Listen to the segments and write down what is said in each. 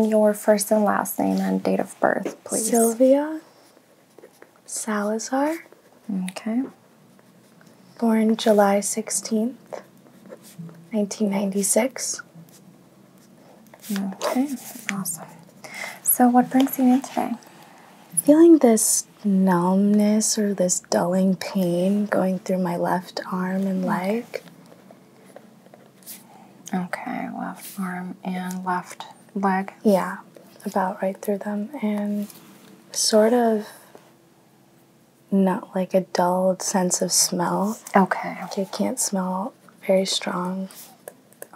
Your first and last name and date of birth, please. Sylvia Salazar. Okay. Born July 16th, 1996. Okay, awesome. So, what brings you in today? Feeling this numbness or this dulling pain going through my left arm and leg. Okay, left arm and left leg. Yeah, about right through them. And sort of not like a dulled sense of smell. Okay. You can't smell very strong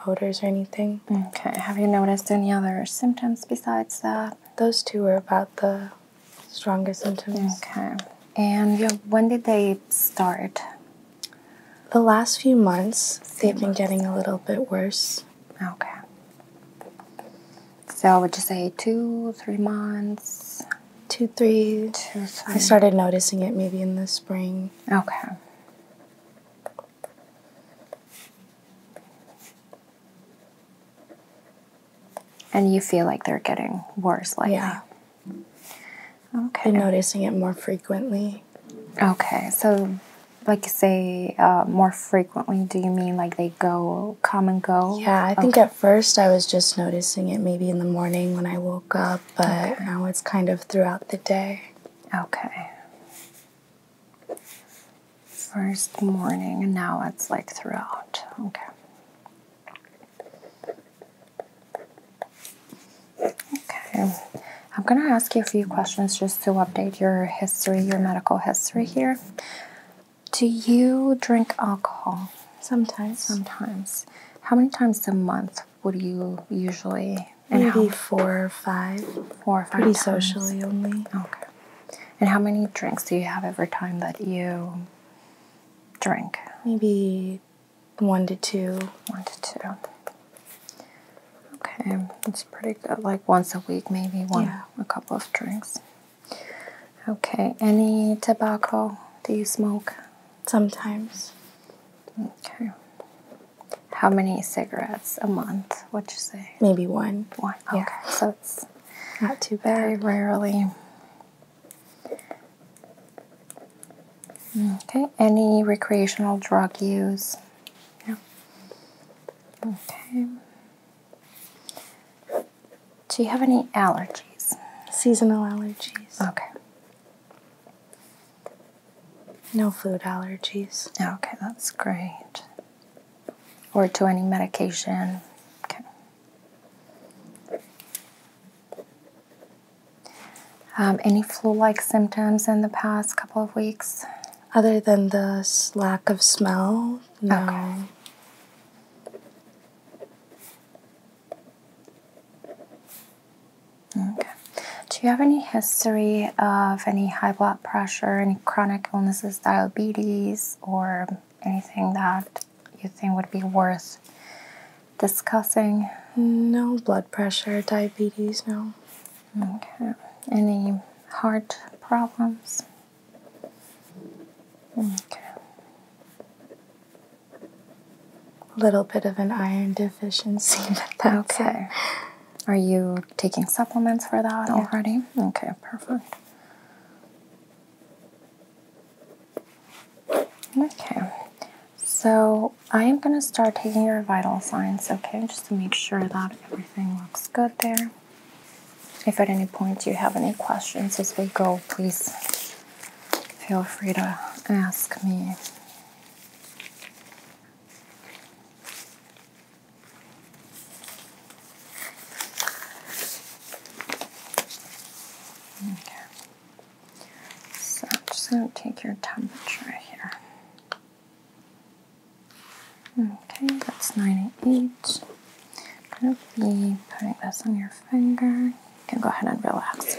odors or anything. Okay. Have you noticed any other symptoms besides that? Those two were about the strongest symptoms. Okay. And yeah, when did they start? the last few months they've been getting a little bit worse. Okay. So would you say two, three months? Two, three. Two, three. I started noticing it maybe in the spring. Okay. And you feel like they're getting worse lately. Yeah. Okay. Been noticing it more frequently. Okay, so like say uh, more frequently, do you mean like they go come and go? Yeah, I think at first I was just noticing it maybe in the morning when I woke up, but now it's kind of throughout the day. Okay. First morning, and now it's like throughout. Okay. Okay, I'm going to ask you a few questions just to update your history, your medical history here. Do you drink alcohol? Sometimes. Sometimes. How many times a month would you usually? Maybe four or five. Four or five. Pretty socially only. Okay. And how many drinks do you have every time that you drink? Maybe one to two. One to two. Okay, it's pretty good. Like once a week, maybe one, a couple of drinks. Okay, any tobacco? Do you smoke? Sometimes. Okay. How many cigarettes a month? What you say? Maybe one. One. Okay, so it's not too bad. Very rarely. Okay, any recreational drug use? No. Okay. Do you have any allergies? Seasonal allergies. Okay. No food allergies. Okay, that's great. Or to any medication. Okay. Um, any flu-like symptoms in the past couple of weeks? Other than the lack of smell, no. Okay. okay. Do you have any history of any high blood pressure, any chronic illnesses, diabetes, or anything that you think would be worth discussing? No blood pressure, diabetes, no. Okay. Any heart problems? Okay. A little bit of an iron deficiency, okay. Are you taking supplements for that already? Okay, perfect. Okay, so I am going to start taking your vital signs, okay, just to make sure that everything looks good there. If at any point you have any questions as we go, please feel free to ask me. Okay. So I'm just going to take your temperature here. Okay, that's 98. I'm going to be putting this on your finger. You can go ahead and relax.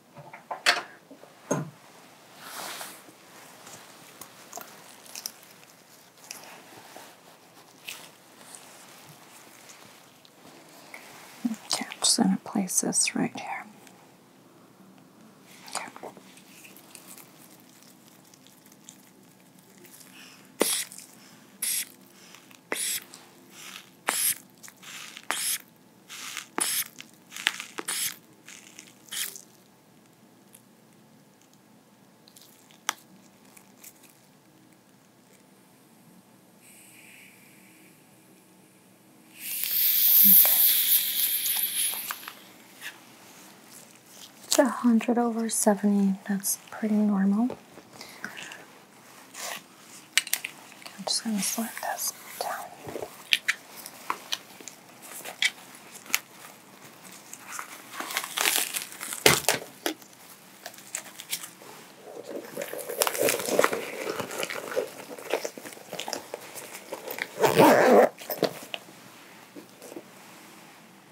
Okay, I'm just going to place this right here. Okay. Okay. It's 100 over 70. That's pretty normal. I'm just going to slide this down.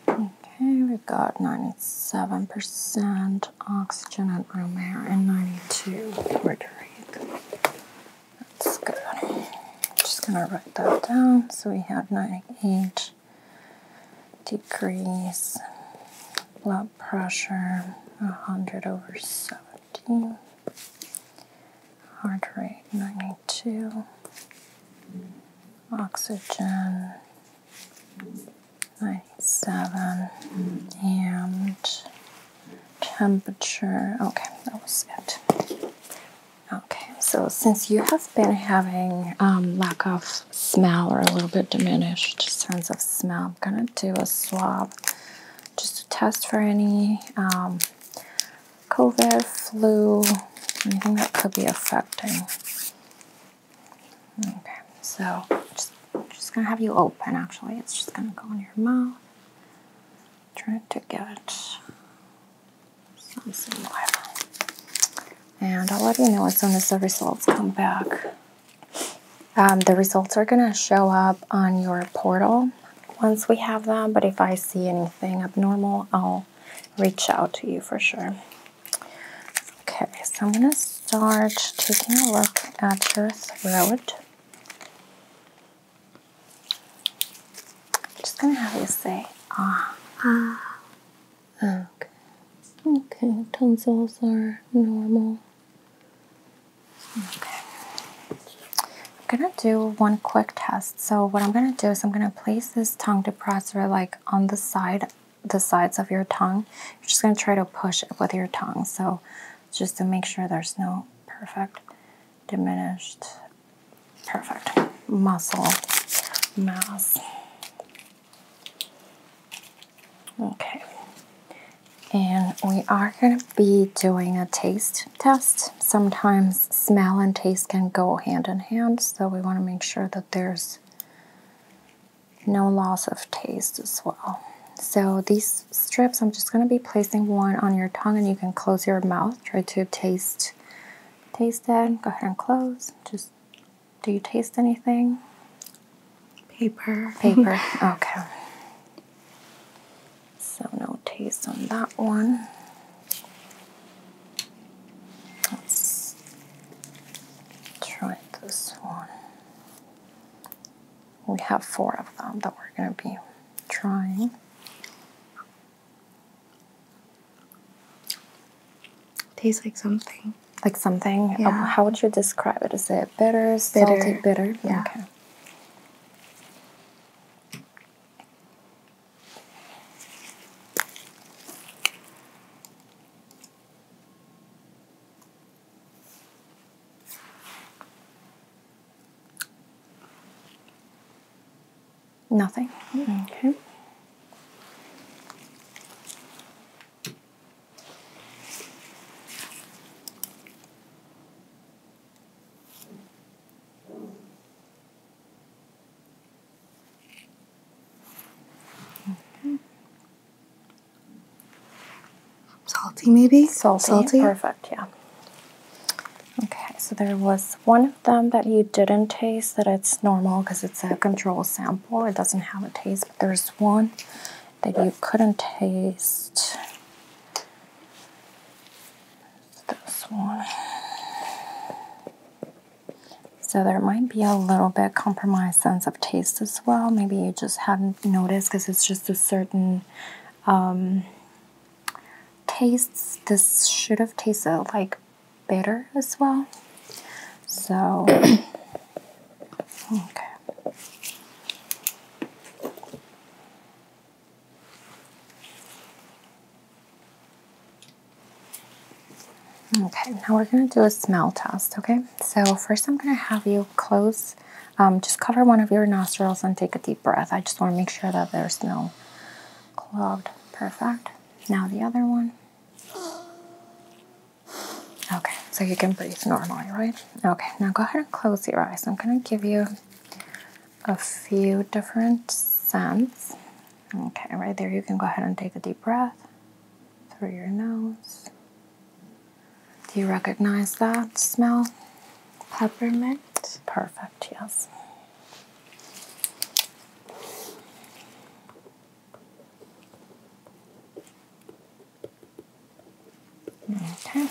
Okay, we've got 97% oxygen and room air and 92 mercury. That's good. I'm just going to write that down. So we have 98 degrees blood pressure 100 over 17, heart rate 92 oxygen 97 and temperature. Okay, that was it. Okay, so since you have been having um, lack of smell or a little bit diminished sense of smell, I'm gonna do a swab just to test for any um, COVID, flu, anything that could be affecting. Okay, so just, just gonna have you open actually. It's just gonna go in your mouth trying to get some somewhere. And I'll let you know as soon as the results come back. Um, the results are going to show up on your portal once we have them, but if I see anything abnormal, I'll reach out to you for sure. Okay, so I'm going to start taking a look at your throat. I'm just gonna have you say ah. Ah. Okay. Okay, tonsils are normal. Okay. I'm gonna do one quick test. So what I'm gonna do is I'm gonna place this tongue depressor like on the side, the sides of your tongue. You're just gonna try to push it with your tongue. So just to make sure there's no perfect diminished, perfect muscle mass. Okay, and we are going to be doing a taste test. Sometimes smell and taste can go hand in hand, so we want to make sure that there's no loss of taste as well. So these strips, I'm just going to be placing one on your tongue and you can close your mouth. Try to taste, taste it. Go ahead and close. Just, do you taste anything? Paper. Paper, okay. So no taste on that one. Let's try this one. We have four of them that we're going to be trying. Tastes like something. Like something? Um, yeah. how would you describe it? Is it bitter, bitter. salty, bitter? Yeah. Nothing. Okay. Salty, maybe? Salty. Perfect, yeah. Okay, so there was one of them that you didn't taste that it's normal because it's a control sample. It doesn't have a taste, but there's one that you couldn't taste. This one. So there might be a little bit compromised sense of taste as well. Maybe you just hadn't noticed because it's just a certain um, tastes this should have tasted like bitter as well so okay Okay, now we're going to do a smell test, okay? So first I'm going to have you close um, just cover one of your nostrils and take a deep breath. I just want to make sure that there's no clogged. Perfect. Now the other one. Okay, so you can breathe normally, right? Okay, now go ahead and close your eyes. I'm going to give you a few different scents. Okay, right there, you can go ahead and take a deep breath through your nose. Do you recognize that smell? Peppermint. Perfect, yes. Okay.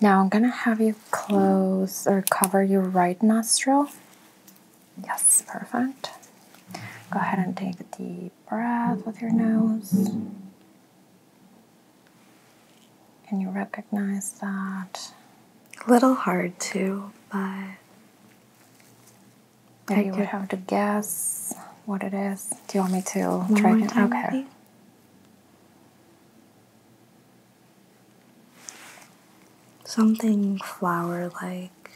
Now I'm going to have you close or cover your right nostril. Yes, perfect. Go ahead and take a deep breath with your nose. Can you recognize that? A little hard too, but. If you would have to guess what it is, do you want me to try more Okay. Something flower like,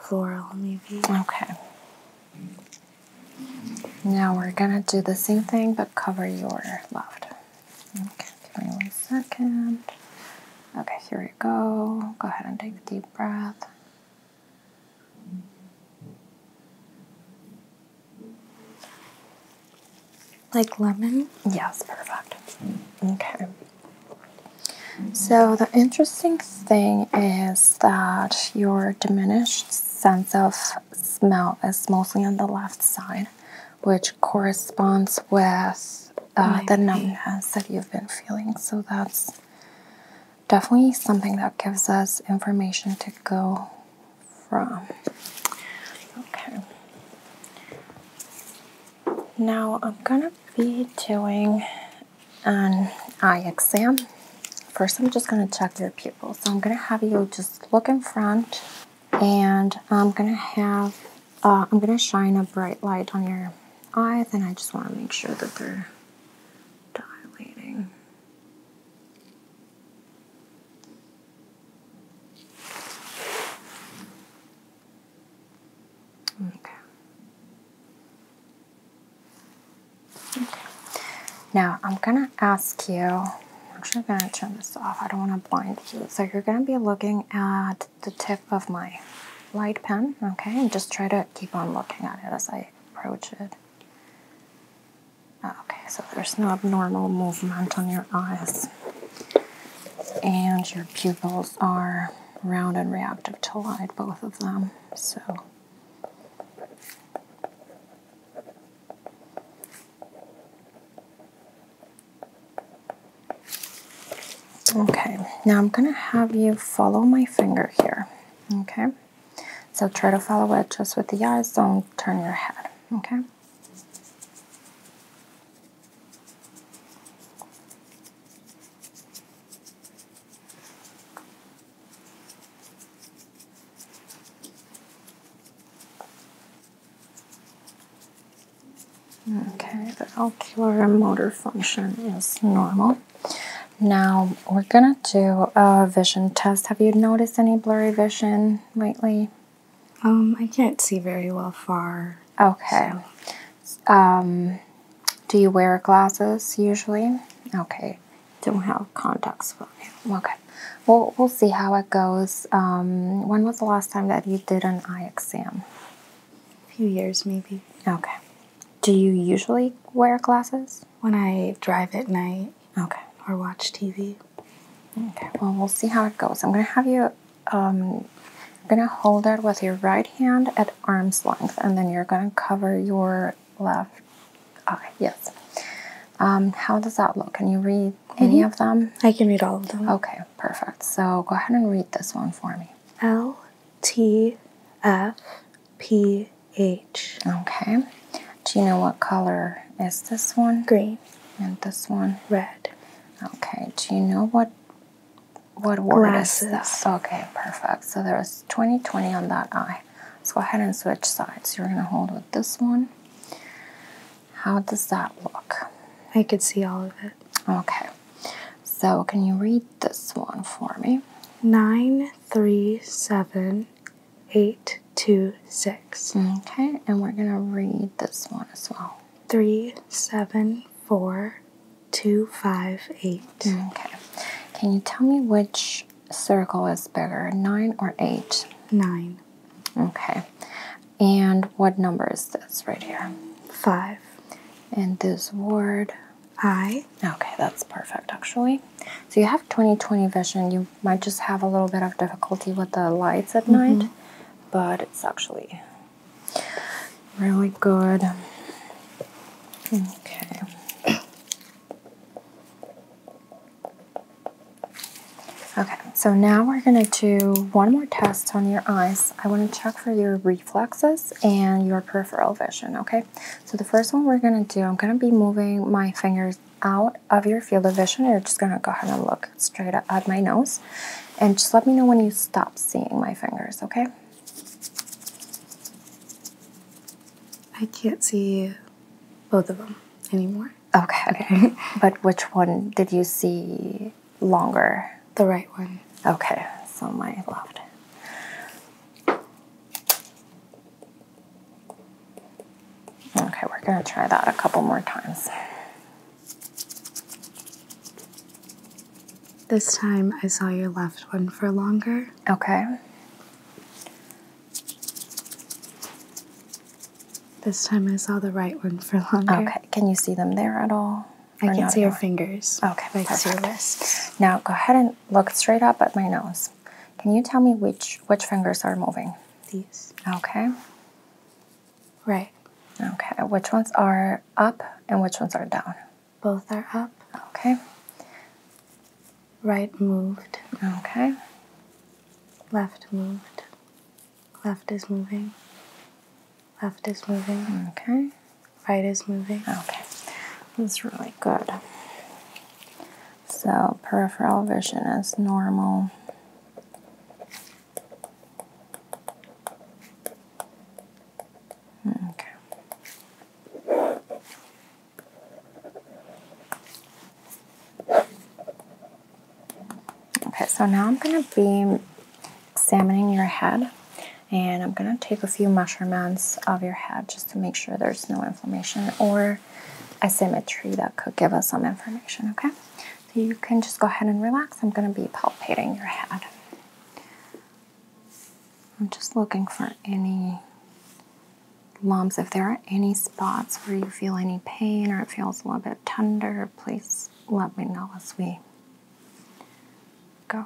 floral maybe. Okay. Now we're gonna do the same thing but cover your left. Okay, give me one second. Okay, here we go. Go ahead and take a deep breath. Like lemon? Yes, perfect. Okay. So, the interesting thing is that your diminished sense of smell is mostly on the left side, which corresponds with uh, the numbness that you've been feeling. So that's definitely something that gives us information to go from. Okay. Now I'm gonna be doing an eye exam. First, I'm just gonna check your pupils. So I'm gonna have you just look in front and I'm gonna have uh, I'm gonna shine a bright light on your eyes and I just want to make sure that they're dilating okay okay now I'm gonna ask you I'm actually gonna turn this off. I don't want to blind you. So you're gonna be looking at the tip of my light pen, okay? And just try to keep on looking at it as I approach it. Ah, okay, so there's no abnormal movement on your eyes. And your pupils are round and reactive to light, both of them. So Okay, now I'm gonna have you follow my finger here. Okay, so try to follow it just with the eyes, don't turn your head. Okay. Okay, the ocular motor function is normal. Now we're gonna do a vision test. Have you noticed any blurry vision lately? Um, I can't see very well far. Okay. Um, do you wear glasses usually? Okay. Don't have contacts Okay we'll, we'll see how it goes. Um, when was the last time that you did an eye exam? A few years, maybe. Okay. Do you usually wear glasses? When I drive at night. Okay. Or watch TV. Okay, well, we'll see how it goes. I'm going to have you, I'm um, going to hold it with your right hand at arm's length, and then you're going to cover your left eye. Yes. Um, how does that look? Can you read any mm-hmm. of them? I can read all of them. Okay, perfect. So go ahead and read this one for me. L T F P H. Okay. Do you know what color is this one? Green. And this one? Red. Okay. Do you know what what word is this? Okay, perfect. So there's was 20 20 on that eye. So go ahead and switch sides. You're going to hold with this one how does that look? I could see all of it. Okay. So, can you read this one for me? Nine, three, seven, eight, two, six. Okay, and we're gonna read this one as well. Three, seven, four, two, five, eight. Okay. Can you tell me which circle is bigger, nine or eight? Nine. Okay. And what number is this right here? Five. And this word? I. Okay, that's perfect actually. So you have twenty-twenty vision. You might just have a little bit of difficulty with the lights at mm-hmm. night, but it's actually really good. Okay. Okay, so now we're gonna do one more test on your eyes. I wanna check for your reflexes and your peripheral vision, okay? So the first one we're gonna do, I'm gonna be moving my fingers out of your field of vision. You're just gonna go ahead and look straight at my nose. And just let me know when you stop seeing my fingers, okay? I can't see both of them anymore. Okay. but which one did you see longer? The right one. Okay, so my left. Okay, we're going to try that a couple more times. This time I saw your left one for longer. Okay. This time I saw the right one for longer. Okay. Can you see them there at all? I can see your fingers. Okay. I can see your wrists. Now go ahead and look straight up at my nose. Can you tell me which which fingers are moving? These. Okay. Right. Okay. Which ones are up and which ones are down? Both are up. Okay. Right moved. Okay. Left moved. Left is moving. Left is moving. Okay. Right is moving. Okay. That's really good. So peripheral vision is normal. Okay. Okay, so now I'm going to be examining your head and I'm going to take a few measurements of your head just to make sure there's no inflammation or asymmetry that could give us some information, okay? So you can just go ahead and relax. I'm going to be palpating your head. I'm just looking for any lumps. If there are any spots where you feel any pain or it feels a little bit tender, please let me know as we go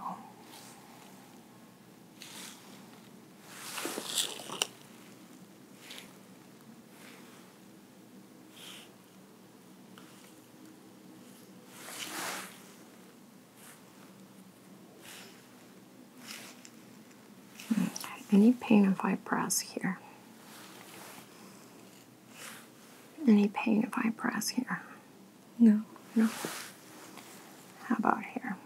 any pain if I press here? Any pain if I press here? No. No. How about here?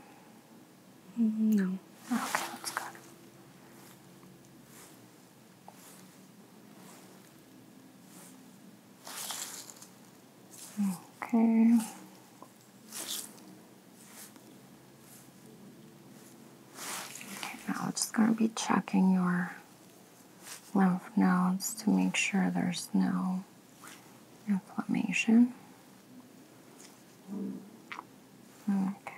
No. Okay, that's good. Okay. Okay, now I'm just going to be checking your lymph nodes to make sure there's no inflammation. Okay.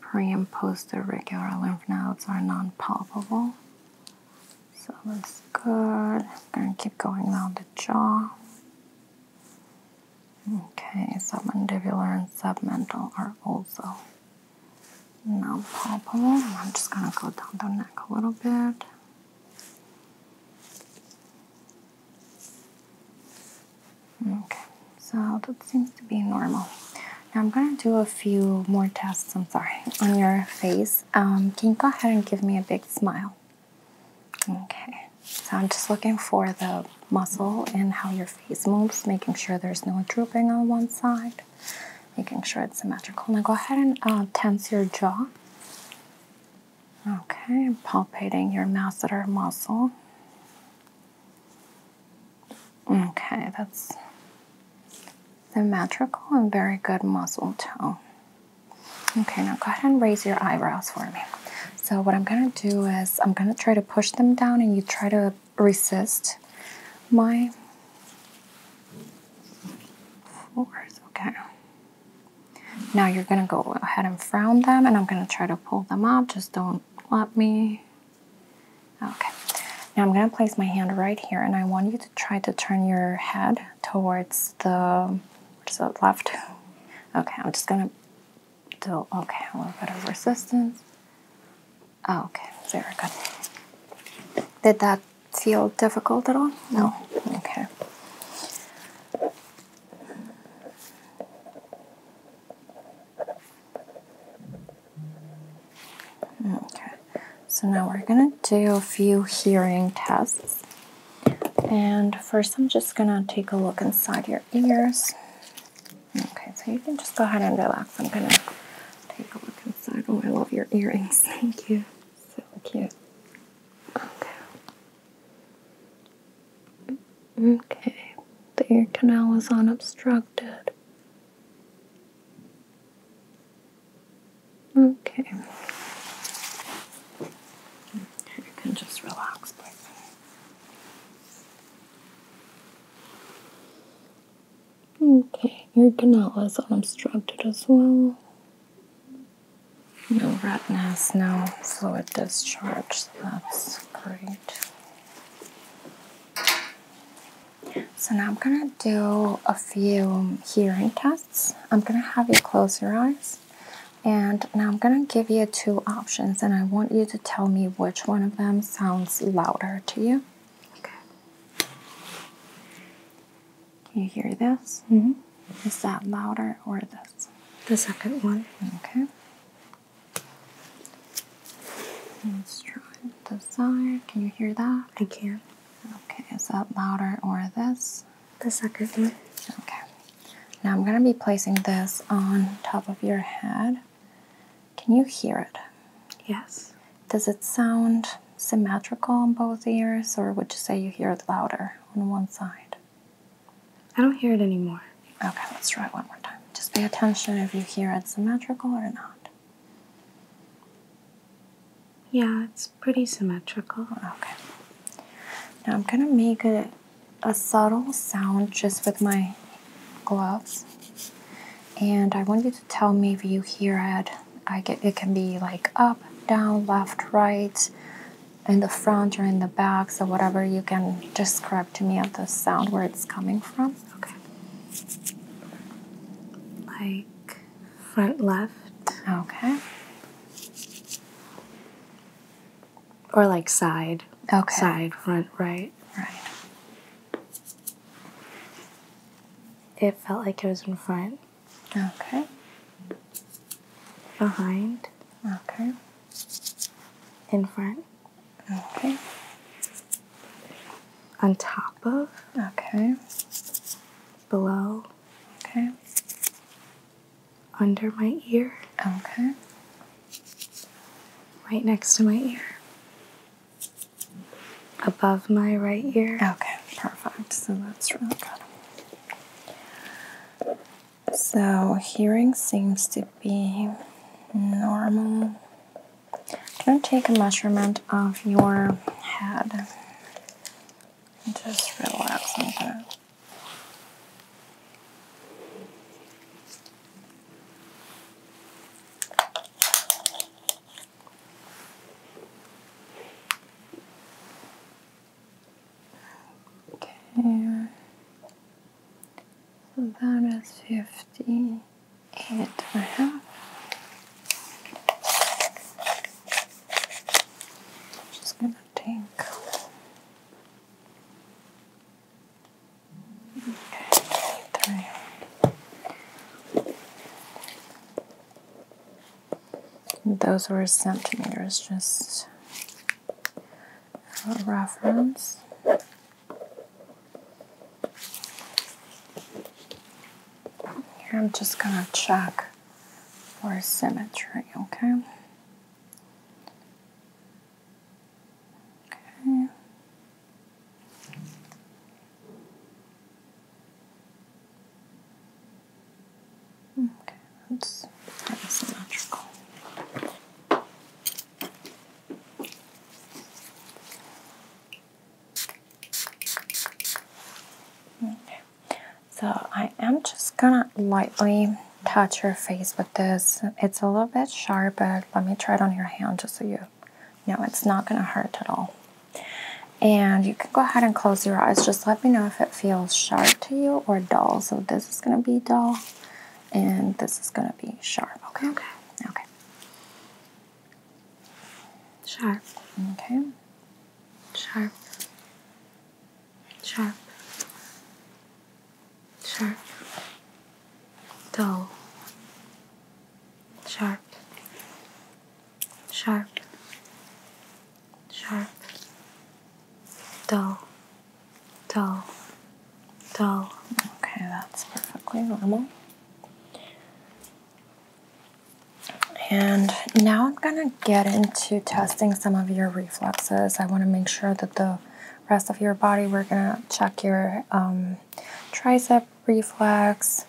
Pre and post irregular lymph nodes are non palpable. So that's good. I'm going to keep going around the jaw. Okay, submandibular and submental are also now palpable. I'm just going to go down the neck a little bit. Okay, so that seems to be normal. Now I'm going to do a few more tests, I'm sorry, on your face. Um, can you go ahead and give me a big smile? Okay, so I'm just looking for the muscle and how your face moves, making sure there's no drooping on one side, making sure it's symmetrical. Now go ahead and uh, tense your jaw. Okay, I'm palpating your masseter muscle. Okay, that's symmetrical and very good muscle tone. Okay, now go ahead and raise your eyebrows for me. So what I'm gonna do is I'm gonna try to push them down and you try to resist my force, okay. Now you're gonna go ahead and frown them and I'm gonna try to pull them up, just don't let me. Okay, now I'm gonna place my hand right here and I want you to try to turn your head towards the, where's left? Okay, I'm just gonna so, okay, a little bit of resistance. Ah, okay, very good. Did that feel difficult at all? No. Okay. Okay. So now we're going to do a few hearing tests. And first I'm just going to take a look inside your ears. Okay, so you can just go ahead and relax. I'm gonna take a look inside. Oh, I love your earrings. Thank you. So cute. Okay. Okay. The ear canal is unobstructed. Okay. You can just relax, please. Okay, your canal is unobstructed as well. No redness, no fluid discharge, that's great. So now I'm gonna do a few hearing tests. I'm gonna have you close your eyes and now I'm gonna give you two and I want you to tell me which one of them sounds louder to you. Okay. you hear this? -hmm. Is that louder or this? The second one. Okay. Let's try the side. Can you hear that? I can. Okay, is that louder or this? The second one. Okay. Now I'm going to be placing this on top of your head. Can you hear it? Yes. Does it sound symmetrical on both ears, or would you say you hear it louder on one side? I don't hear it anymore. Okay, let's try it one more time. Just pay attention if you hear it symmetrical or not. Yeah, it's pretty symmetrical. Okay. Now I'm going to make it a subtle sound just with my gloves. And I want you to tell me if you hear it. I get, it can be like up, down, left, right, in the front or in the back. So whatever you can describe to me of the sound where it's coming from. Okay. Like front left. Okay or like side. Okay. Side, front, right. Right. It felt like it was in front. Okay. Behind. Okay. In front. Okay. On top of. Okay. Below. Okay. Under my ear. Okay right next to my ear. Above my right ear. Okay, perfect. So that's really good. So hearing seems to be normal. I'm gonna take a measurement of your head. Just relax Okay, so that is fifty eight and a half. I'm just gonna take Okay, those were centimeters, just for reference. Here I'm just gonna check for symmetry, okay? Okay. Okay, that's kind of symmetrical. Okay. So I am just gonna lightly touch your face with this. It's a little bit sharp, but let me try it on your hand just so you know it's not going to hurt at all. And you can go ahead and close your eyes. Just let me know if it feels sharp to you or dull. So this is going to be dull, and this is going to be sharp. Okay. Okay. Okay. Sharp. Okay. Sharp. Sharp. Sharp. Dull. Sharp. Sharp. Sharp. Dull. Dull. Dull. Okay, that's perfectly normal. And now I'm going to get into testing some of your reflexes. I want to make sure that the rest of your body. We're gonna check your um, tricep reflex,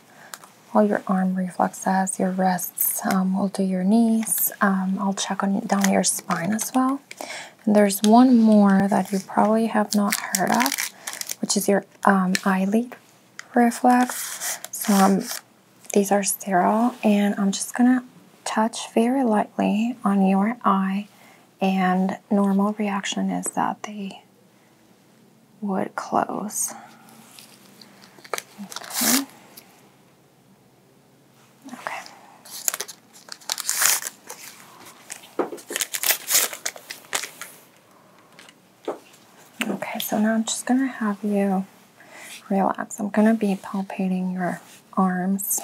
all your arm reflexes, your wrists. Um, we'll do your knees. Um, I'll check on down your spine as well. And there's one more that you probably have not heard of, which is your um, eyelid reflex. So these are sterile, and I'm just gonna touch very lightly on your eye and normal reaction is that they would close. Okay. okay. Okay, so now I'm just going to have you relax. I'm going to be palpating your arms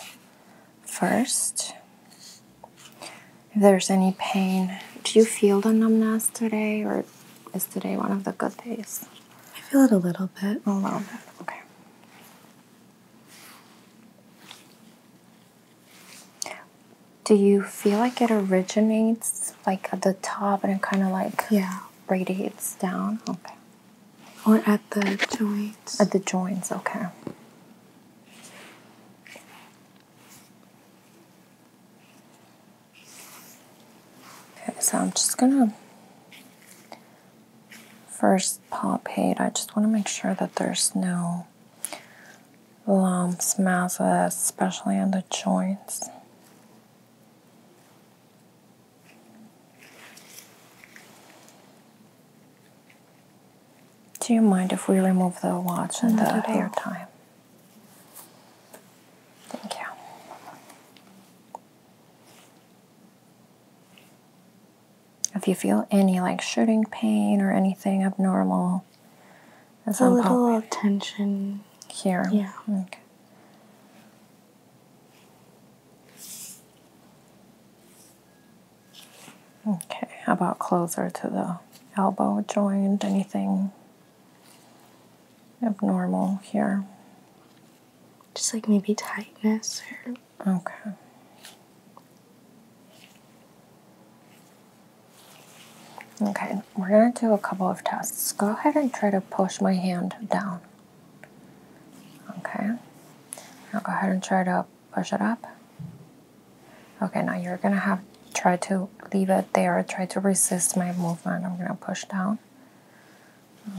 first. If there's any pain, do you feel the numbness today, or is today one of the good days? I feel it a little bit. A little bit, okay. Do you feel like it originates like at the top and it kind of like yeah radiates down? Okay. Or at the joints. At the joints, okay so I'm just gonna first palpate. I just want to make sure that there's no lumps, masses, especially on the joints. Do you mind if we remove the watch and Not the hair tie? Thank you. If you feel any like shooting pain or anything abnormal, it's a little tension here. Yeah. Okay, how about closer to the elbow joint? Anything abnormal here? Just like maybe tightness or. Okay. Okay, we're gonna do a couple of tests. Go ahead and try to push my hand down. Okay. Now go ahead and try to push it up. Okay, now you're gonna have try to leave it there, try to resist my movement. I'm gonna push down.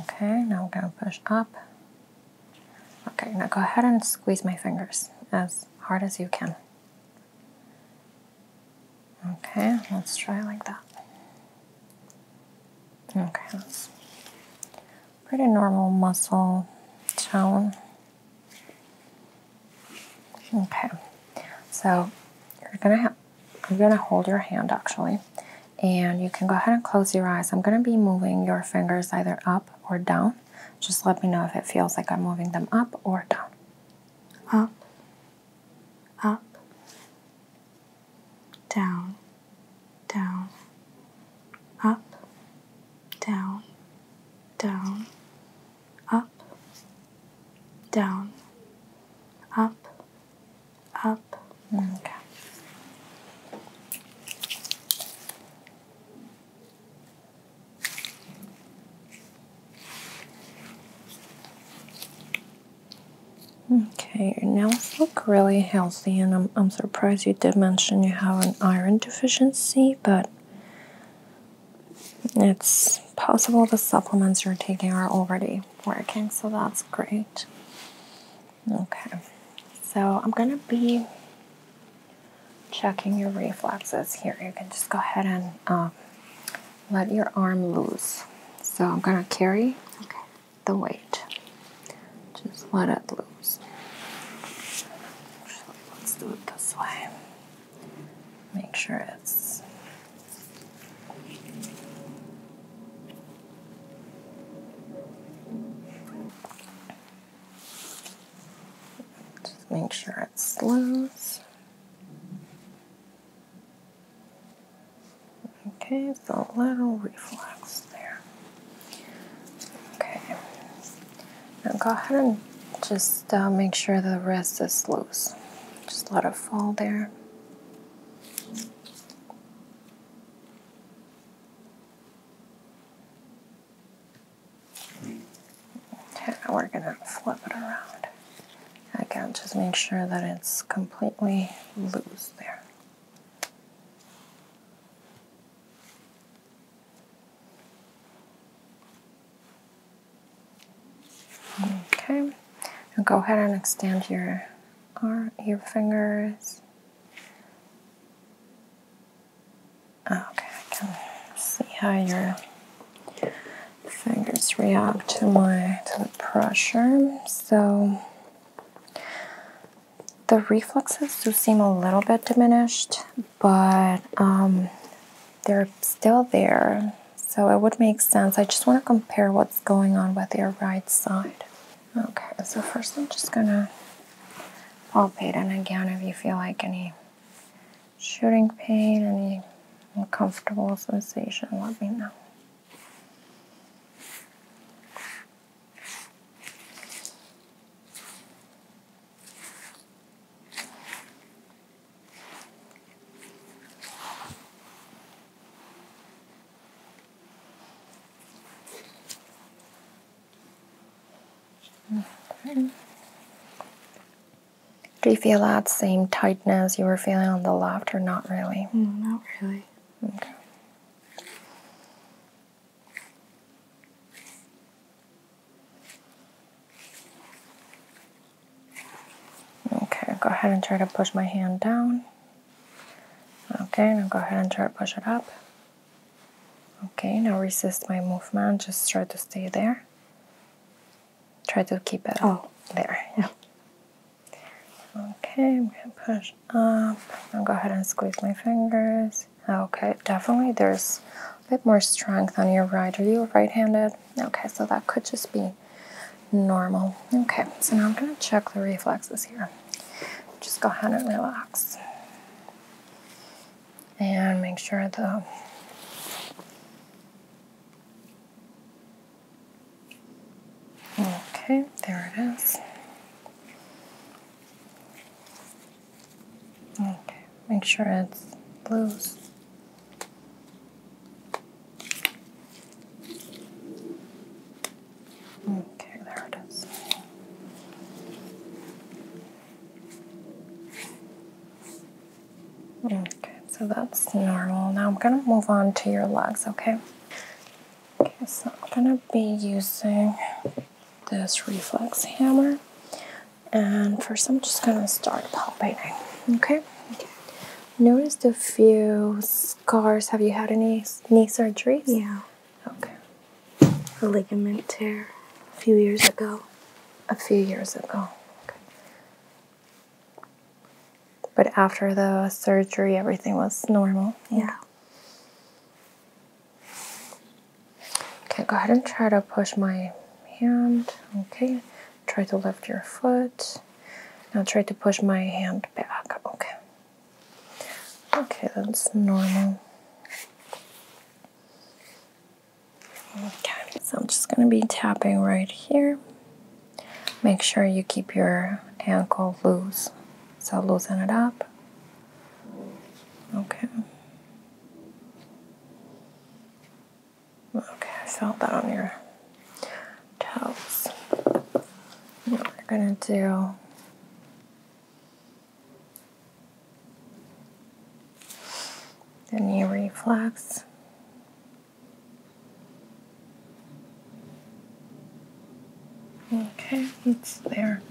Okay, now I'm gonna push up. Okay, now go ahead and squeeze my fingers as hard as you can. Okay, let's try like that. Okay, pretty normal muscle tone. Okay, so you're gonna have, i gonna hold your hand actually, and you can go ahead and close your eyes. I'm gonna be moving your fingers either up or down. Just let me know if it feels like I'm moving them up or down. Up, up, down, down, up, down, down, up, down, up, up. Okay. Okay, your nails look really healthy honestly, and I'm, surprised you did mention you have an iron deficiency, but it's possible the supplements you're taking are already working, so that's great. Okay, so I'm gonna be checking your reflexes here. You can just go ahead and um, let your arm loose. So I'm gonna carry the weight. Just let it loose. let's do it this way. Make sure it's just make sure it's loose. Okay, it's a little reflex there. Okay. Now go ahead and just uh, make sure the rest is loose. Just let it fall there. Okay, now we're gonna flip it around. Again, just make sure that it's completely loose there. Okay, go ahead and extend your arm, your fingers. Okay, I can see how your fingers react to my to the pressure. So the reflexes do seem a little bit diminished, but um, they're still there, so it would make sense. I just want to compare what's going on with your right side. Okay, so first I'm just gonna palpate, and again, if you feel like any shooting pain, any uncomfortable sensation, let me know. Do you feel that same tightness you were feeling on the left, or not really? Mm, not really. Okay. Okay, go ahead and try to push my hand down. Okay, now go ahead and try to push it up. Okay, now resist my movement, just try to stay there. Try to keep it oh. there. Yeah. Okay, I'm gonna push up. Now go ahead and squeeze my fingers. Okay, definitely there's a bit more strength on your right. Are you right-handed? Okay, so that could just be normal. Okay, so now I'm going to check the reflexes here. Just go ahead and relax. And make sure the Okay, there it is. Okay, make sure it's loose. Okay, there it is. Okay, so that's normal. Now I'm gonna move on to your legs, okay? Okay, so I'm gonna be using this reflex hammer. And first, I'm just gonna start palpating. Okay. Okay. Notice a few scars. Have you had any knee surgeries? Yeah. Okay. A ligament tear a few years ago. A few years ago. Okay. But after the surgery, everything was normal. Yeah. Okay, go ahead and try to push my hand. Okay, try to lift your foot. Now try to push my hand back. Okay. Okay, that's normal. Okay, so I'm just gonna be tapping right here. Make sure you keep your ankle loose. So loosen it up. Okay. Okay, I saw that on your toes. What we're gonna do. The knee reflex. Okay, it's there.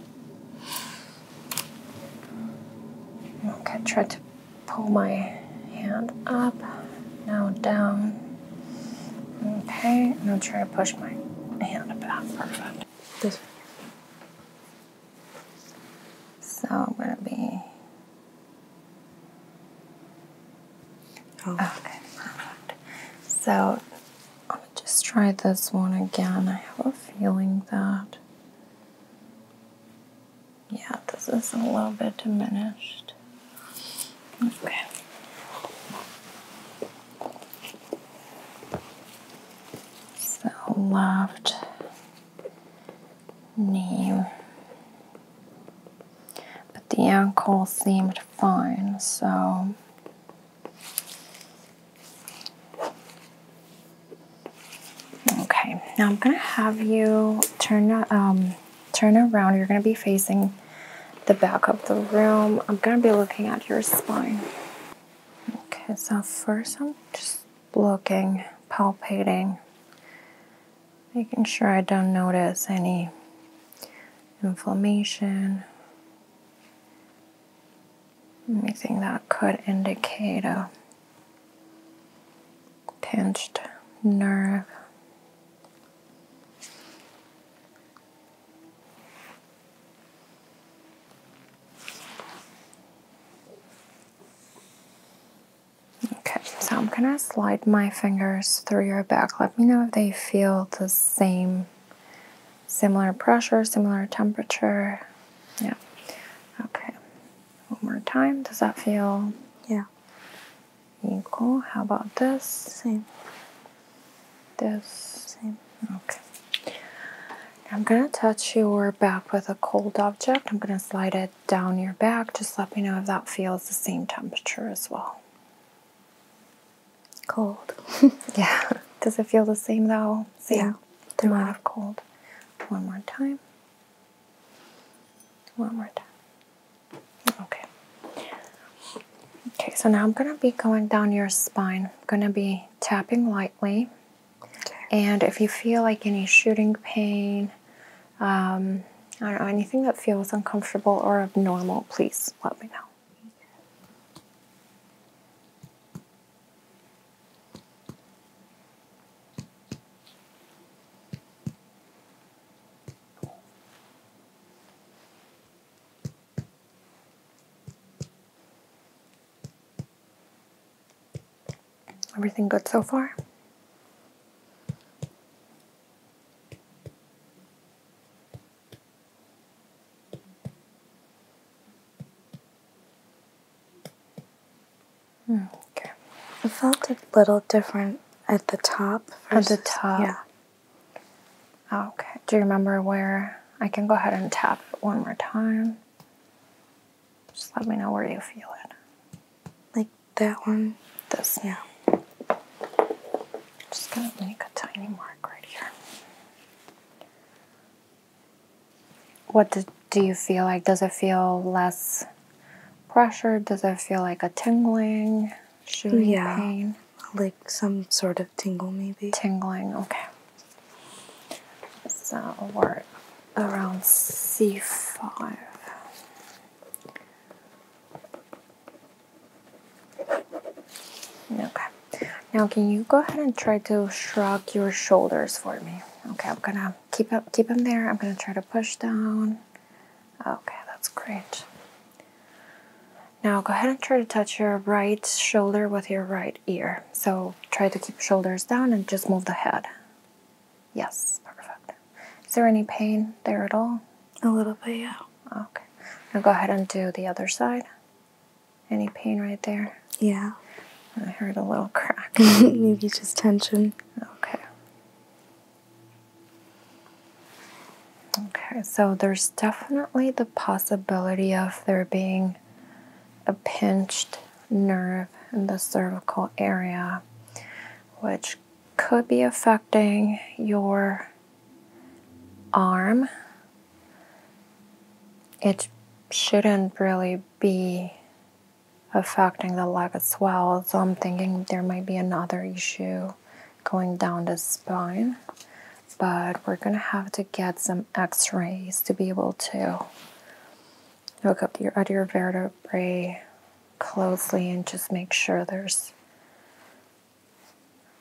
Okay, try to pull my hand up, now down. Okay, now try to push my hand about. Perfect. This. So I'm gonna be. Oh. Okay, perfect. So on just try this one again. I have a feeling that. Yeah, this is a little bit diminished. Okay. So left knee. But the ankle seemed fine, so Okay, now I'm gonna have you turn um, turn around. You're gonna be facing the back of the room. I'm gonna be looking at your spine. Okay, so first I'm just looking, palpating, making sure I don't notice any inflammation. Anything that could indicate a pinched nerve. Okay, so I'm gonna slide my fingers through your back. Let me know if they feel the same similar pressure, similar temperature. Yeah. Okay. One more time. Does that feel? Yeah. Equal. How about this? Same. This. Same. Okay. I'm going to touch your back with a cold object. I'm going to slide it down your back. Just let me know if that feels the same temperature as well cold. yeah. Does it feel the same though? Same yeah. The amount cold. One more time. One more time. Okay. Okay, so now I'm gonna be going down your spine. I'm gonna be tapping lightly. And if you feel like any shooting pain, um, I don't know, anything that feels uncomfortable or abnormal, please let me know. Everything good so far? Okay. It felt a little different at the top. Versus, at the top. Yeah. Oh, okay. Do you remember where? I can go ahead and tap one more time. Just let me know where you feel it. Like that one? This. Yeah. just gonna make a tiny mark right here what do you feel like? Does it feel less pressure? Does it feel like a tingling, shooting pain? Like some sort of tingle, maybe. Tingling, okay. So we around C5. Okay. Now, can you go ahead and try to shrug your shoulders for me? Okay, I'm gonna keep up, keep them there. I'm gonna try to push down. Okay, that's great. Now go ahead and try to touch your right shoulder with your right ear. So try to keep shoulders down and just move the head. Yes, perfect. Is there any pain there at all? A little bit, yeah. Okay. Now go ahead and do the other side. Any pain right there? Yeah. I heard a little crack. Maybe just tension. Okay. Okay, so there's definitely the possibility of there being a pinched nerve in the cervical area, which could be affecting your arm it shouldn't really be affecting the leg as well. So I'm thinking there might be another issue going down the spine, but we're gonna have to get some x-rays to be able to look up your other vertebrae closely and just make sure there's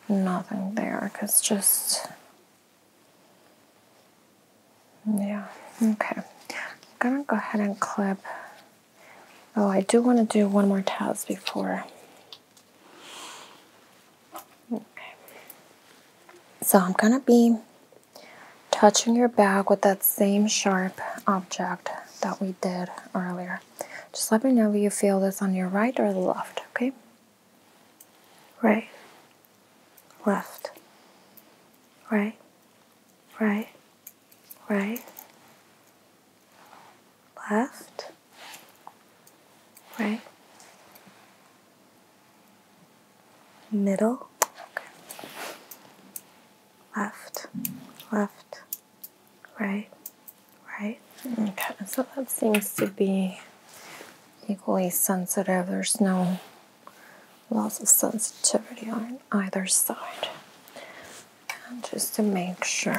nothing there because just yeah, okay. I'm gonna go ahead and clip. Oh, I do want to do one more task before. Okay. So I'm gonna be touching your back with that same sharp object that we did earlier. Just let me know if you feel this on your right or the left, okay? right, left, right, right, right, left, right, middle, okay. left, left, right, right. Okay, so that seems to be equally sensitive. There's no loss of sensitivity on either side. And just to make sure,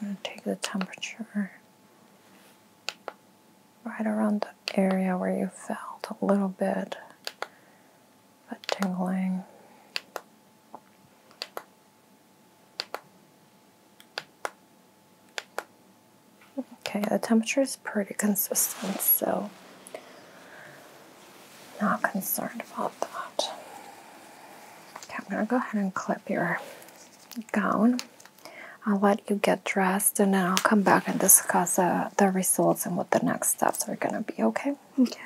I'm going to take the temperature right around the area where you felt a little bit of tingling. Okay, the temperature is pretty consistent, so not concerned about that. Okay, I'm gonna go ahead and clip your gown. I'll let you get dressed and then I'll come back and discuss uh, the results and what the next steps are gonna be, okay? Okay.